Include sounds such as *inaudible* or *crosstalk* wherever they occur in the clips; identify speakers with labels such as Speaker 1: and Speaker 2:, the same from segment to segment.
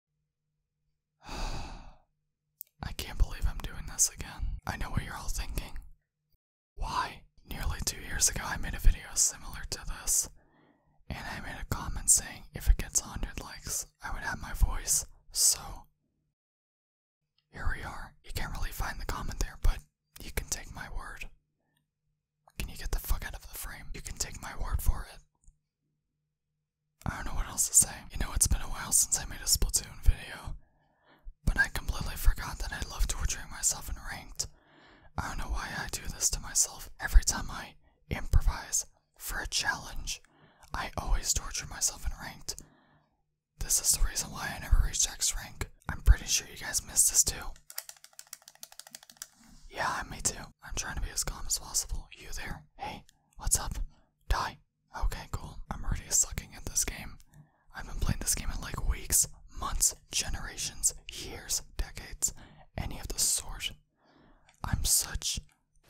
Speaker 1: *sighs* I can't believe I'm doing this again. I know what you're all thinking. Why? Nearly two years ago, I made a video similar to this, and I made a comment saying if it gets 100 likes, I would have my voice, so. Here we are. You can't really find the comment there, but you can take my word. Can you get the fuck out of the frame? You can take my word for it. I don't know what else to say. You know, it's been a while since I made a Splatoon video, but I completely forgot that I love torturing myself in ranked. I don't know why I do this to myself every time I improvise for a challenge. I always torture myself in ranked. This is the reason why I never reached X rank. I'm pretty sure you guys missed this too. Yeah, me too. I'm trying to be as calm as possible. You there? Hey, what's up? Die. Okay, cool. I'm already sucking at this game. I've been playing this game in like weeks, months, generations, years, decades, any of the sort. I'm such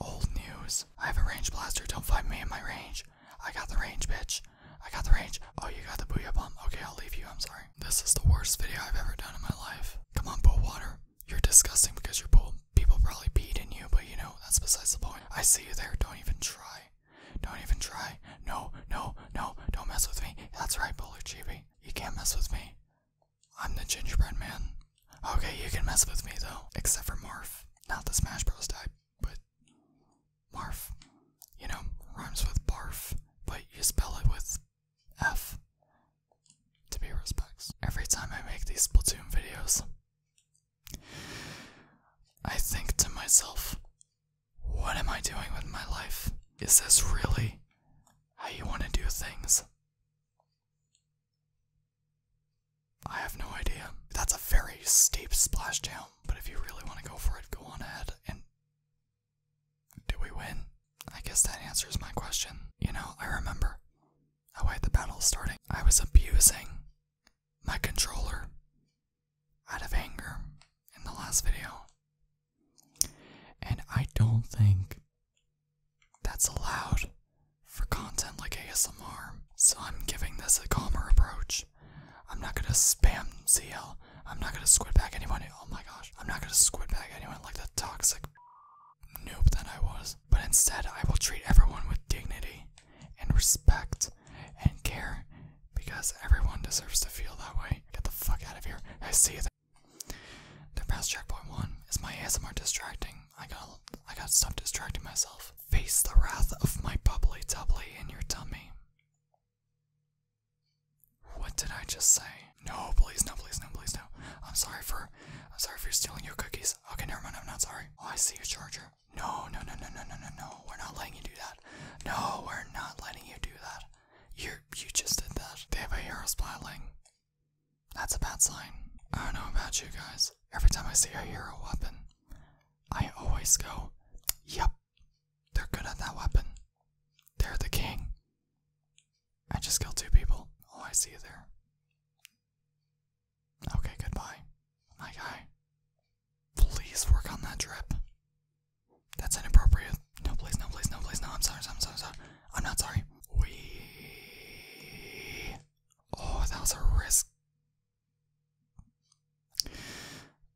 Speaker 1: old news. I have a range blaster. Don't find me in my range. I got the range, bitch. I got the range. Oh, you got the booyah bomb. Okay, I'll leave you. I'm sorry. This is the worst video I've ever done in my life. Come on, pool water. You're disgusting because your pool people probably peed in you, but you know, that's besides the point. I see you there. Don't even try. Don't even try. No, no, no. Don't mess with me. That's right, Bowler Chibi. You can't mess with me. I'm the gingerbread man. Okay, you can mess with me though. Except for Marf. Not the Smash Bros type, but Marf. You know, rhymes with barf, but you spell it with F. To be respects. Every time I make these Splatoon videos, I think to myself, what am I doing with my life? Is this really how you want to do things? I have no idea. That's a very steep splash down, but if you really want to go for it, go on ahead and do we win? I guess that answers my question. You know, I remember how I the battle starting. I was abusing my controller out of anger in the last video. And I don't think that's allowed for content like ASMR, so I'm giving this a calmer approach. I'm not gonna spam CL. I'm not gonna squid back anyone. Oh my gosh. I'm not gonna squid back anyone like the toxic noob that I was. But instead, I will treat everyone with dignity and respect and care because everyone deserves to feel that way. Get the fuck out of here. I see that. The past checkpoint one is my ASMR distracting. I gotta, I gotta stop distracting myself. Face the wrath of my bubbly bubbly in your tummy. What did I just say? No, please, no, please, no, please, no. I'm sorry for, I'm sorry for stealing your cookies. Okay, never mind, I'm not sorry. Oh, I see your charger. No, no, no, no, no, no, no, no. We're not letting you do that. No, we're not letting you do that. You, you just did that. They have a hero splatling. That's a bad sign. I don't know about you guys. Every time I see a hero weapon, I always go, Yep, they're good at that weapon. They're the king. I just killed two people. Oh, I see you there. Okay, goodbye. My guy. Please work on that drip. That's inappropriate. No, please, no, please, no, please, no. I'm sorry, I'm sorry, I'm sorry. I'm not sorry. We. Oh, that was a risk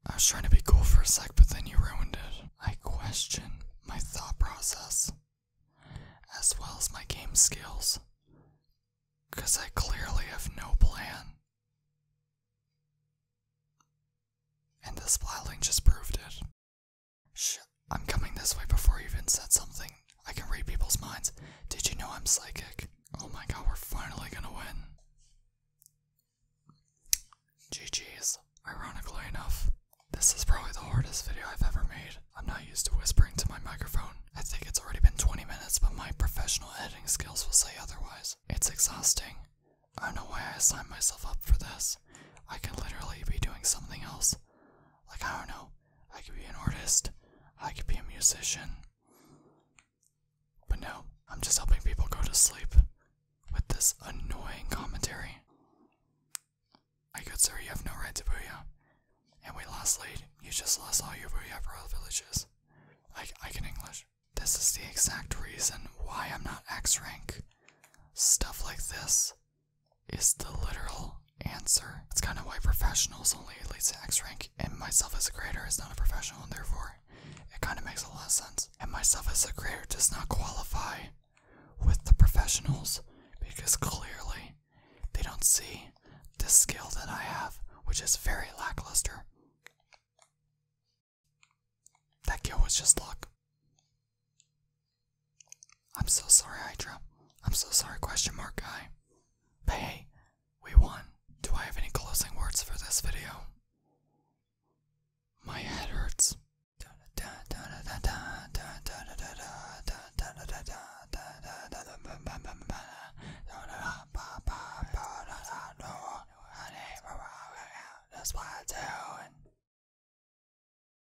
Speaker 1: I was trying to be cool for a sec, but then you ruined it. I question my thought process as well as my game skills because I clearly have no plan. And this plotline just proved it. Shh, I'm coming this way before you even said something. I can read people's minds. Did you know I'm psychic? Oh my god, we're finally gonna win. GG's. Ironically enough, this is probably the hardest video I've ever made. I'm not used to whispering to my microphone. I think it's already been 20 minutes, but my professional editing skills will say otherwise. It's exhausting. I don't know why I signed myself up for this. I could literally be doing something else. Like, I don't know, I could be an artist, I could be a musician. But no, I'm just helping people go to sleep with this annoying commentary. My good sir, you have no right to Booyah. And we lost lead. you just lost all your Booyah Pearl villages. I, I can English. This is the exact reason why I'm not X rank. Stuff like this is the literal answer. That's kind of why professionals only lead to X rank, and myself as a grader is not a professional, and therefore it kind of makes a lot of sense. And myself as a grader does not qualify with the professionals because clearly they don't see the skill that I have, which is very lackluster. That skill was just luck. I'm so sorry, Hydra. I'm so sorry, question mark guy. But hey, we won. Do I have any closing words for this video? My head hurts.